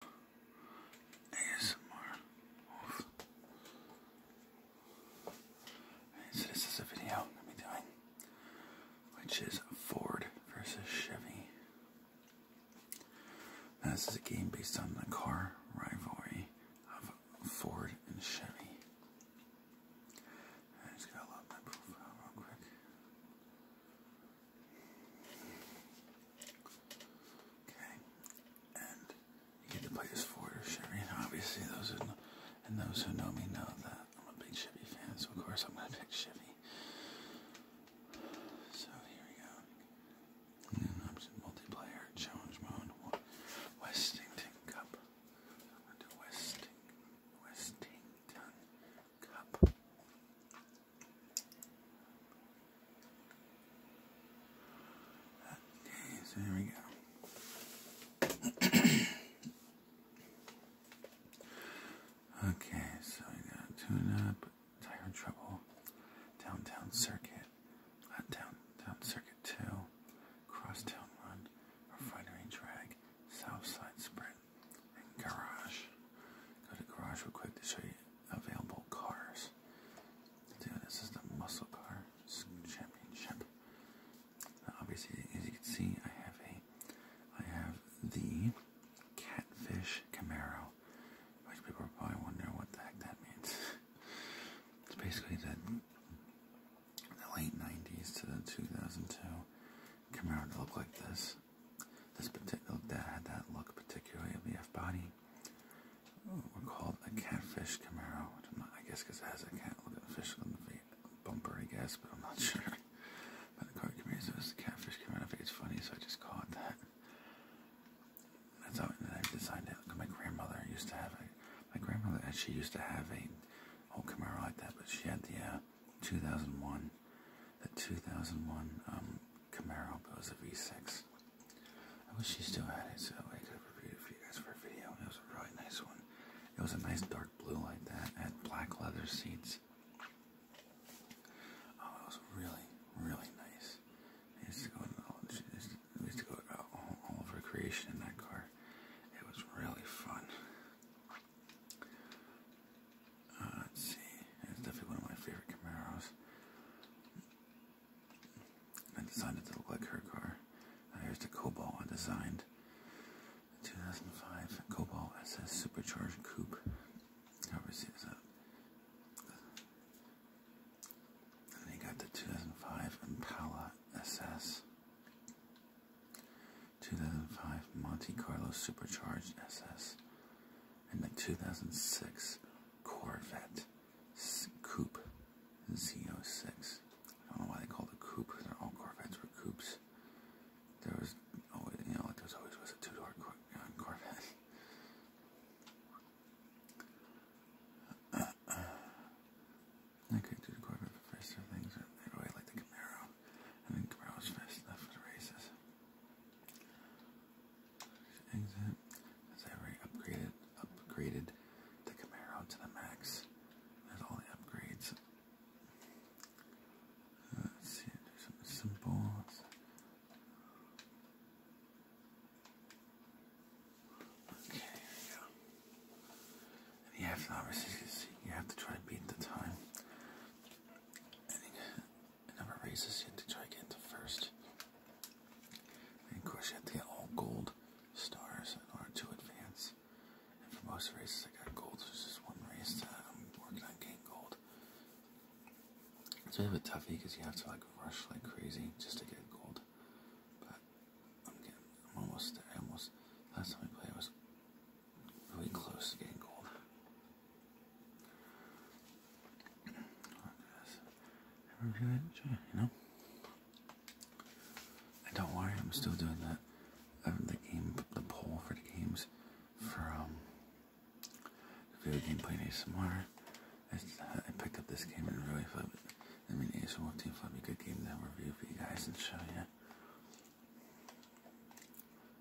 ASMR so this is a video I'm going doing, which is Ford versus Chevy. this is a game based on the car rivalry of Ford and Chevy. I just gotta load my profile real quick. Okay, and you get to play as Ford or Chevy, and obviously those who know, and those who know me know that I'm a big Chevy fan, so of course I'm gonna pick Chevy. So here we go. option multiplayer challenge mode. Westington Cup. I'm gonna do Westing Westington Cup. Okay, so there we go. okay, so I got tune up, tire trouble, downtown circuit, downtown circuit two, crosstown run, refinery drag, south side sprint garage. Go to garage real quick to show you available cars. Dude, this is the muscle car championship. obviously, as you can see, I have a, I have the catfish Camaro. Which people are probably wonder what the heck that means. it's basically the the late '90s to the 2002 Camaro to look like this. This particular that had that look particularly of the F body were called a catfish Camaro, which I'm not, I guess because it has a cat look at the fish on the feet bumper, I guess, but I'm not sure. But the car Camaro so was the catfish Camaro. I think it's funny, so I just called it that. That's how I designed it. Cause my grandmother used to have a my grandmother actually used to have a old Camaro like that, but she had the uh, 2001, the 2001 um, Camaro but it was a V6. I wish she still had it so I could have reviewed it for you guys for a video. It was a really nice one. It was a nice dark blue like that. had black leather seats. Oh, it was really, really nice. I used to we used to go all, all over creation in that car. It was really fun. Uh, let's see. It's definitely one of my favorite Camaros. I designed to look like her car. Now uh, here's the Cobalt I designed. 2005 Cobalt SS Supercharged Coupe. However, see this up. And then you got the 2005 Impala SS. 2005 Monte Carlo Supercharged SS and like 2006 Corvette S Coupe Z06. I don't know why they called it coupe. They're all Corvettes were coupes. There was always, you know, like there was always was a two-door cor uh, Corvette. Uh, uh, okay, do the Corvette for first things. I really like the Camaro and then Camaro's finished left for the races. Exit as every upgraded upgraded the Camaro to the max. There's all the upgrades. Uh, let's see, do something simple. Okay, here we go. you have to obviously you have to try to beat the time. Ending number races you have to try to get to first. And of course you have to get all gold stars in order to advance. And for most races I got gold, so there's just one race that I'm working on getting gold. It's a bit of a toughie because you have to like rush like crazy just to get gold. But I'm getting I'm almost there. I almost last time I played I was really close to getting cold. you know? And don't worry, I'm still doing that. Um, the game, the poll for the games for the video game playing ASMR. I, I picked up this game and really thought, I mean, ASMR team thought it be a good game to review for you guys and show you.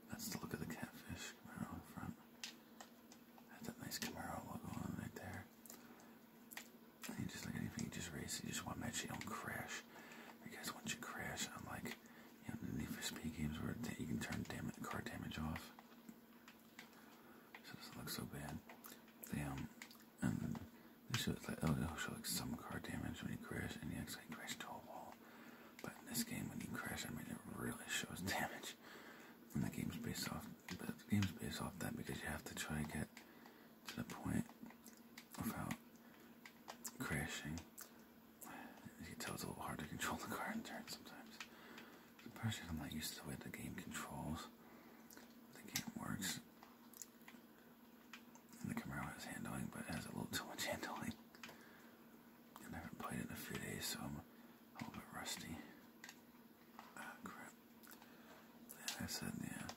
That's the look of the catfish Camaro in front. Had that nice Camaro logo on right there. And you just like anything, just race. You just want to you don't crash. You guys want you to crash on like you know the Need games where you can turn damage, car damage off. doesn't look so bad. Damn. Um, and this shows like, it'll show like some car damage when you crash and you actually crash to a wall. But in this game, when you crash, I mean, it really shows damage. And the game's based off, but the game's based off that because you have to try to get to the point without crashing. As you can tell, it's a little hard to control the car in turn sometimes. Especially I'm not used to the way the game controls, the game works. And the Camaro has handling, but it has a little too much handling. I haven't played it in a few days, so I'm a little bit rusty. Ah, crap. I said, yeah.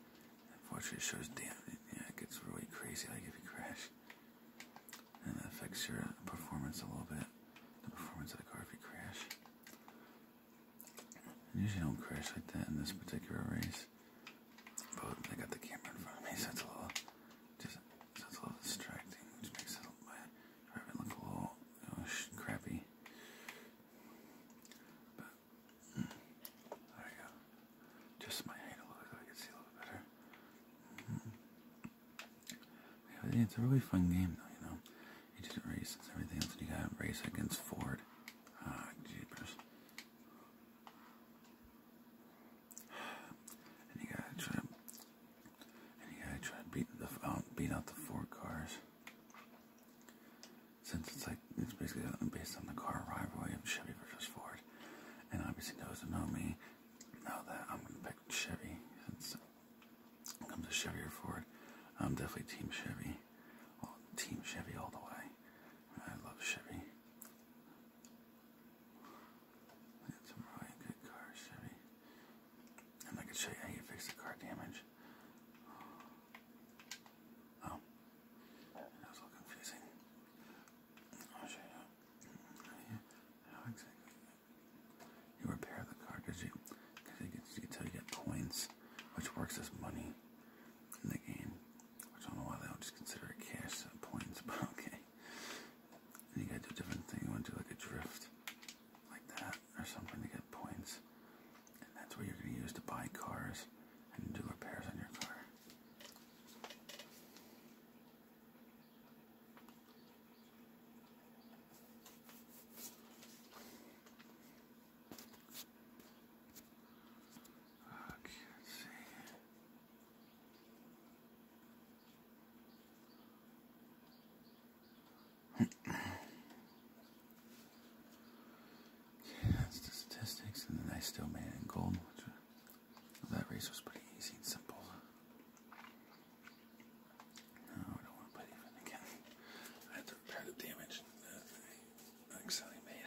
Unfortunately, it shows damn. Yeah, it gets really crazy, like if you crash. And that affects your performance a little bit. The performance of the car if you crash. I usually don't crash like that in this particular race this. But I got the camera in front of me, so it's a little, just, so it's a little distracting, which makes it, my driving look a little you know, crappy. But mm, there you go. Just my height a little bit so I can see a little better. Mm -hmm. yeah, it's a really fun game, though. You know, you just race. It's everything else. You got to race against Ford. Ah, jeepers. And you gotta try and you gotta try and beat the um, out the Ford cars. Since it's like it's basically uh, based on the car rivalry of Chevy versus Ford, and obviously those that know me know that I'm gonna pick Chevy. Since it comes to Chevy or Ford, I'm definitely Team Chevy. Team Chevy all the way. I love Chevy. They had some really good cars, Chevy. And I could show you how you fix the car damage. Oh, that was a little confusing. I'll show you how exactly you repair the car, did you? Because you, you get points, which works as money in the game. I don't know why they don't just consider it cash points, but okay. you gotta do a different thing. You wanna do like a drift like that or something to get points. And that's what you're gonna use to buy cars and do repairs on your car. I okay, that's the statistics, and then I still made it in gold. that race was pretty easy and simple. No, I don't want to put even again. I had to repair the damage I accidentally made.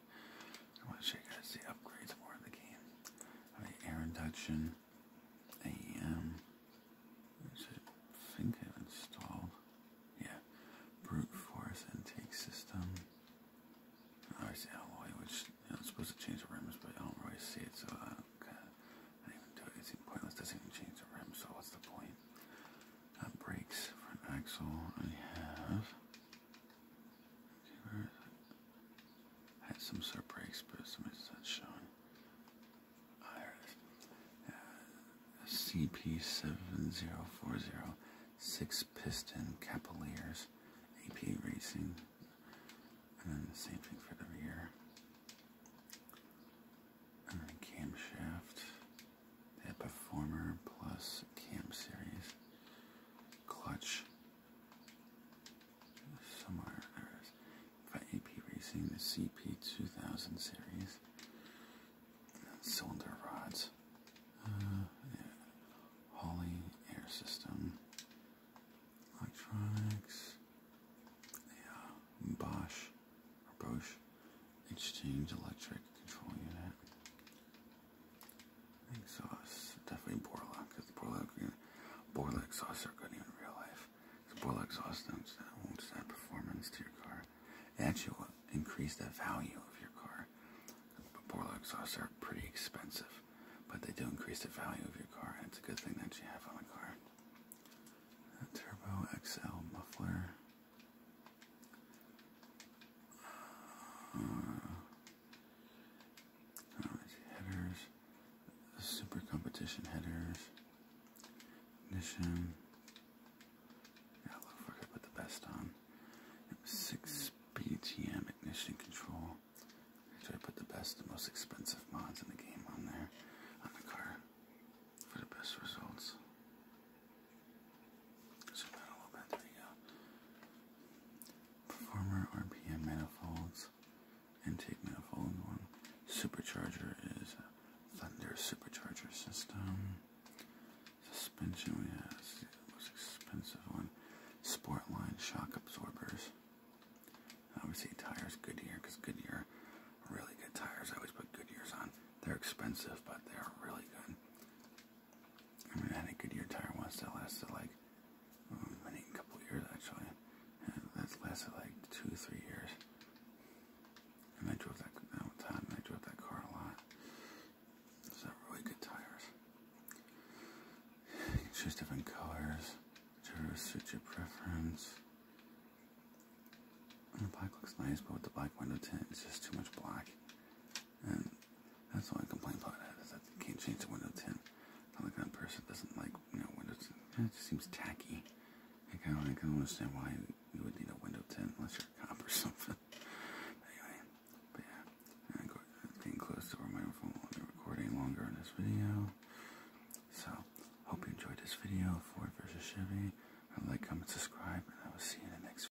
I want to show you guys the upgrades for the game. air induction, a um, I think I've installed, yeah, brute force intake system. alloy, which you know, supposed to change the rims, but I don't really see it, so I don't, uh, I don't even do it. It's even pointless. doesn't even change the rims, so what's the point? Uh, brakes, front axle. I have. I had some super of brakes, but somebody's not showing. Oh, there it is. CP7040, six piston Capillars, AP Racing, and then the same thing for the rear. And then camshaft, they Performer Plus Cam Series, clutch, somewhere there's got AP Racing, the CP 2000 series, cylinder rods, uh, air system, electronics, yeah, Bosch Bosch exchange electric control unit, Egg sauce, definitely Borlaug, because the Borlaug, Borlaug are good in real life. Because Borlaug sauce notes that won't add performance to your car. It actually will increase the value of your car. But Borlaug sauce are pretty expensive, but they do increase the value of your car, it's a good thing that you have on the car. Uh, Turbo XL muffler. Uh, headers, super competition headers, ignition. Yeah, look for it, put the best on. Six BTM ignition control. Actually, I put the best, most expensive mods in the game on there, on the car, for the best results. So RPM manifolds, intake manifold one. Supercharger is a Thunder supercharger system. Suspension we have the most expensive one. Sportline shock absorbers. Obviously tires Goodyear because Goodyear really good tires. I always put Goodyears on. They're expensive, but they're really good. I mean, I had a Goodyear tire once that lasted like um, a couple years actually, and that lasted like two, three years. And I drove that one time. And I drove that car a lot. It's really good tires. choose different colors, whichever suits your preference. the black looks nice, but with the black window tint, it's just too much black. That's why I complain about that, is that you can't change to Windows 10. I'm the kind of person that doesn't like, you know, Windows It just seems tacky. I kind of, I don't understand why you would need a Windows 10 unless you're a cop or something. anyway, but yeah, I'm getting close to where my phone will be recording longer in this video. So, hope you enjoyed this video, Ford versus Chevy. I like, comment, subscribe, and I will see you in the next video.